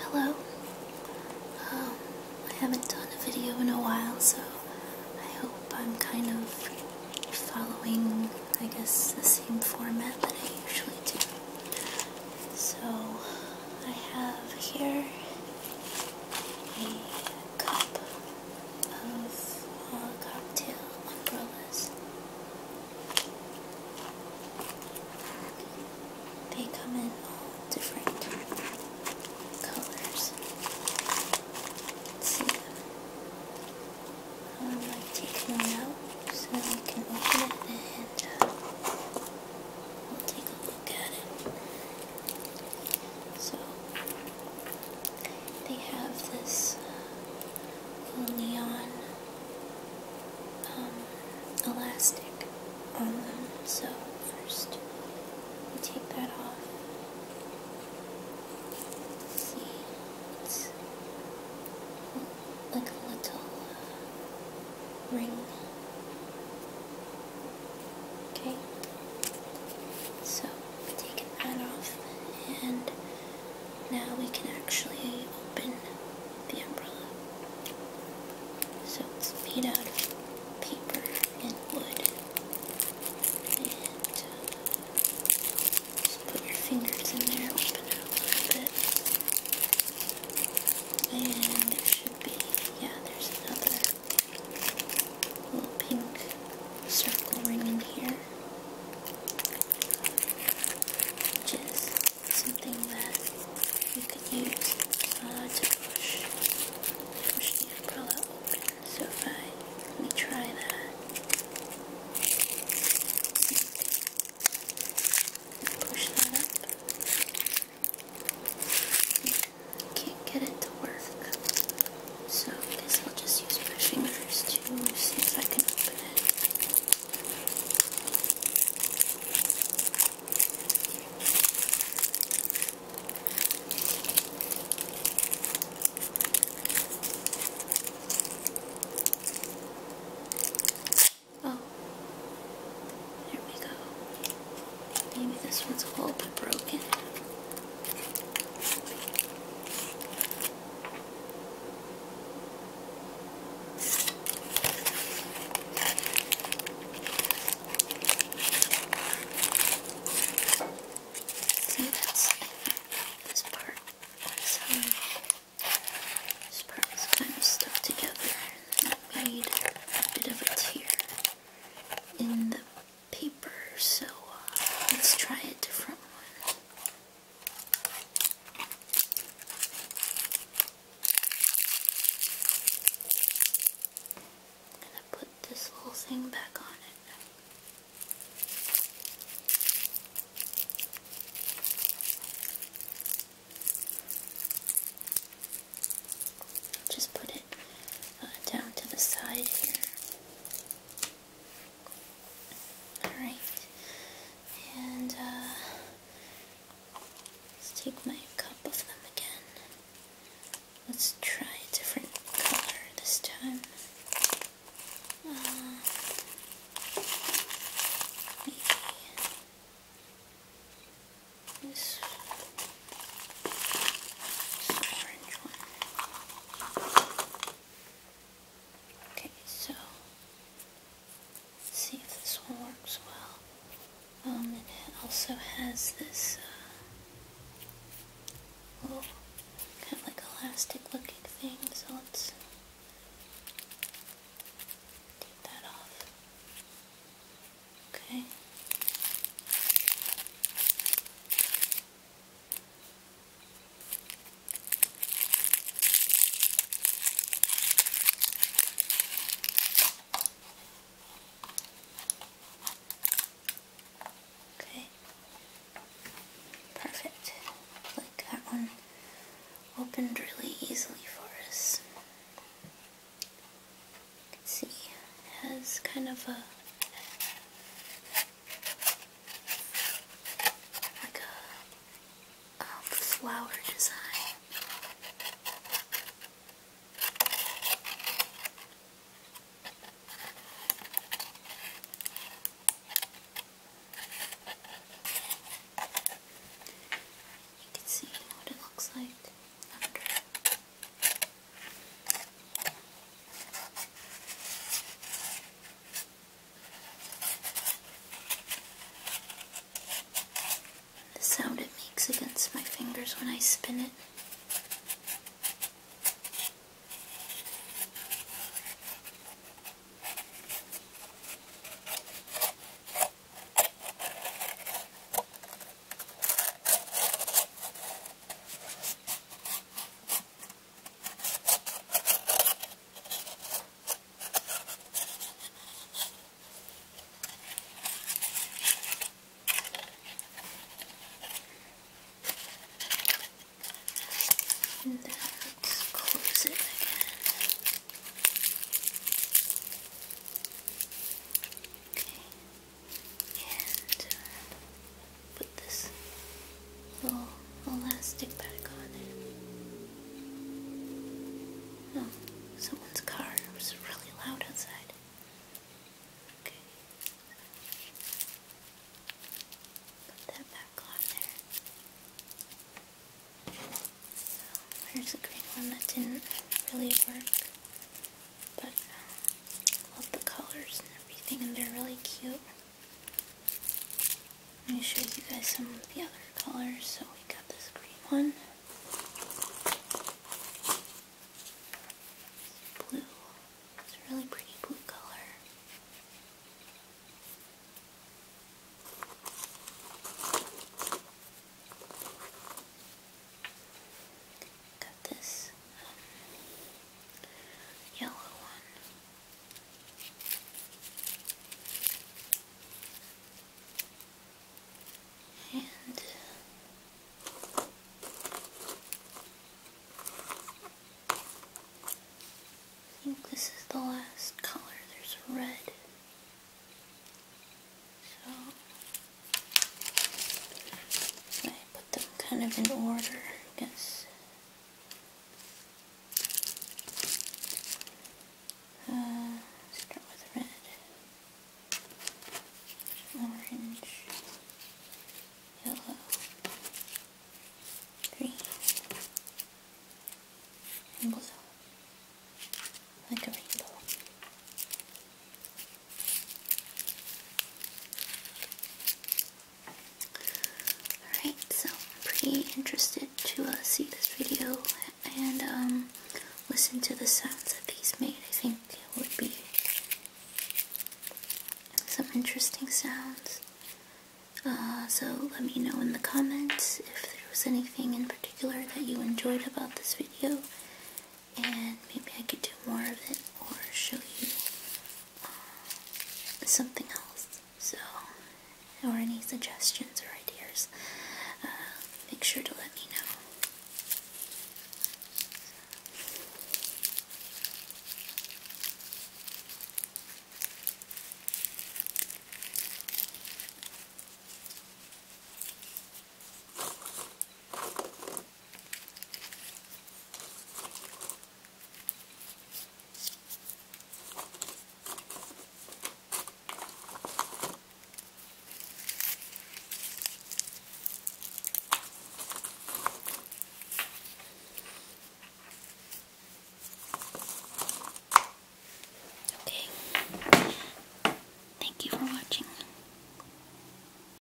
Hello. Um, I haven't done a video in a while, so I hope I'm kind of following I guess the same format that I usually do. So I have here a cup of uh, cocktail umbrellas. They come in all different colors. I'm going to take one out so that we can open it and take a look at it. So, they have this uh, neon um, elastic on them. So, first, we take that off seems like a little ring. Okay, so taken that off, and now we can actually open the umbrella. So it's made out of paper and wood, and uh, just put your fingers in there, open it up a little bit. And there should be, yeah, there's another little pink circle ring in here. Just something that you could use uh, to push, push the umbrella open. So if I let me try that. Push that up. Can't get it to work. So I guess I'll just use my fingers to see if I Oh, there we go. Maybe this one's a little bit broken. So that's this part. So this part is kind of stuck together. I made a bit of a tear in the paper, so uh, let's try a different one. I'm gonna put this whole thing back on it. Just put it uh, down to the side here. Alright, and uh, let's take my cup of them again. Let's try a different color this time. Uh, maybe this, orange one. Okay, so see if this one works well. Um, and it also has this uh, kind of like elastic looking thing, so let's take that off. Okay. Okay. Perfect. Like that one opened really easily for us. You can see it has kind of a like a um, flower design. You can see what it looks like under the sound it makes against my fingers when I spin it. And then let's close it again. Okay. And uh, put this little elastic uh, back on it. Oh, someone's car was really loud outside. Okay. Put that back on there. So, here's a green one that didn't really work. But, uh, love the colors and everything, and they're really cute. Let me show you guys some of the other colors. So we got this green one. Blue. It's a really pretty blue color. Got this um, yellow one. And I think this is the last color. There's red. So I put them kind of in order, I guess. Uh, start with red, orange, yellow, green, and blue, like a rainbow. Alright, so I'm pretty interested to uh, see this video and um, listen to the sounds that these made. I think it would be some interesting sounds. Uh, so let me know in the comments if there was anything in particular that you enjoyed about this video and maybe I could do more of it or show you something else. So, or any suggestions or ideas, uh, make sure to let me know. Okay. Thank you for watching.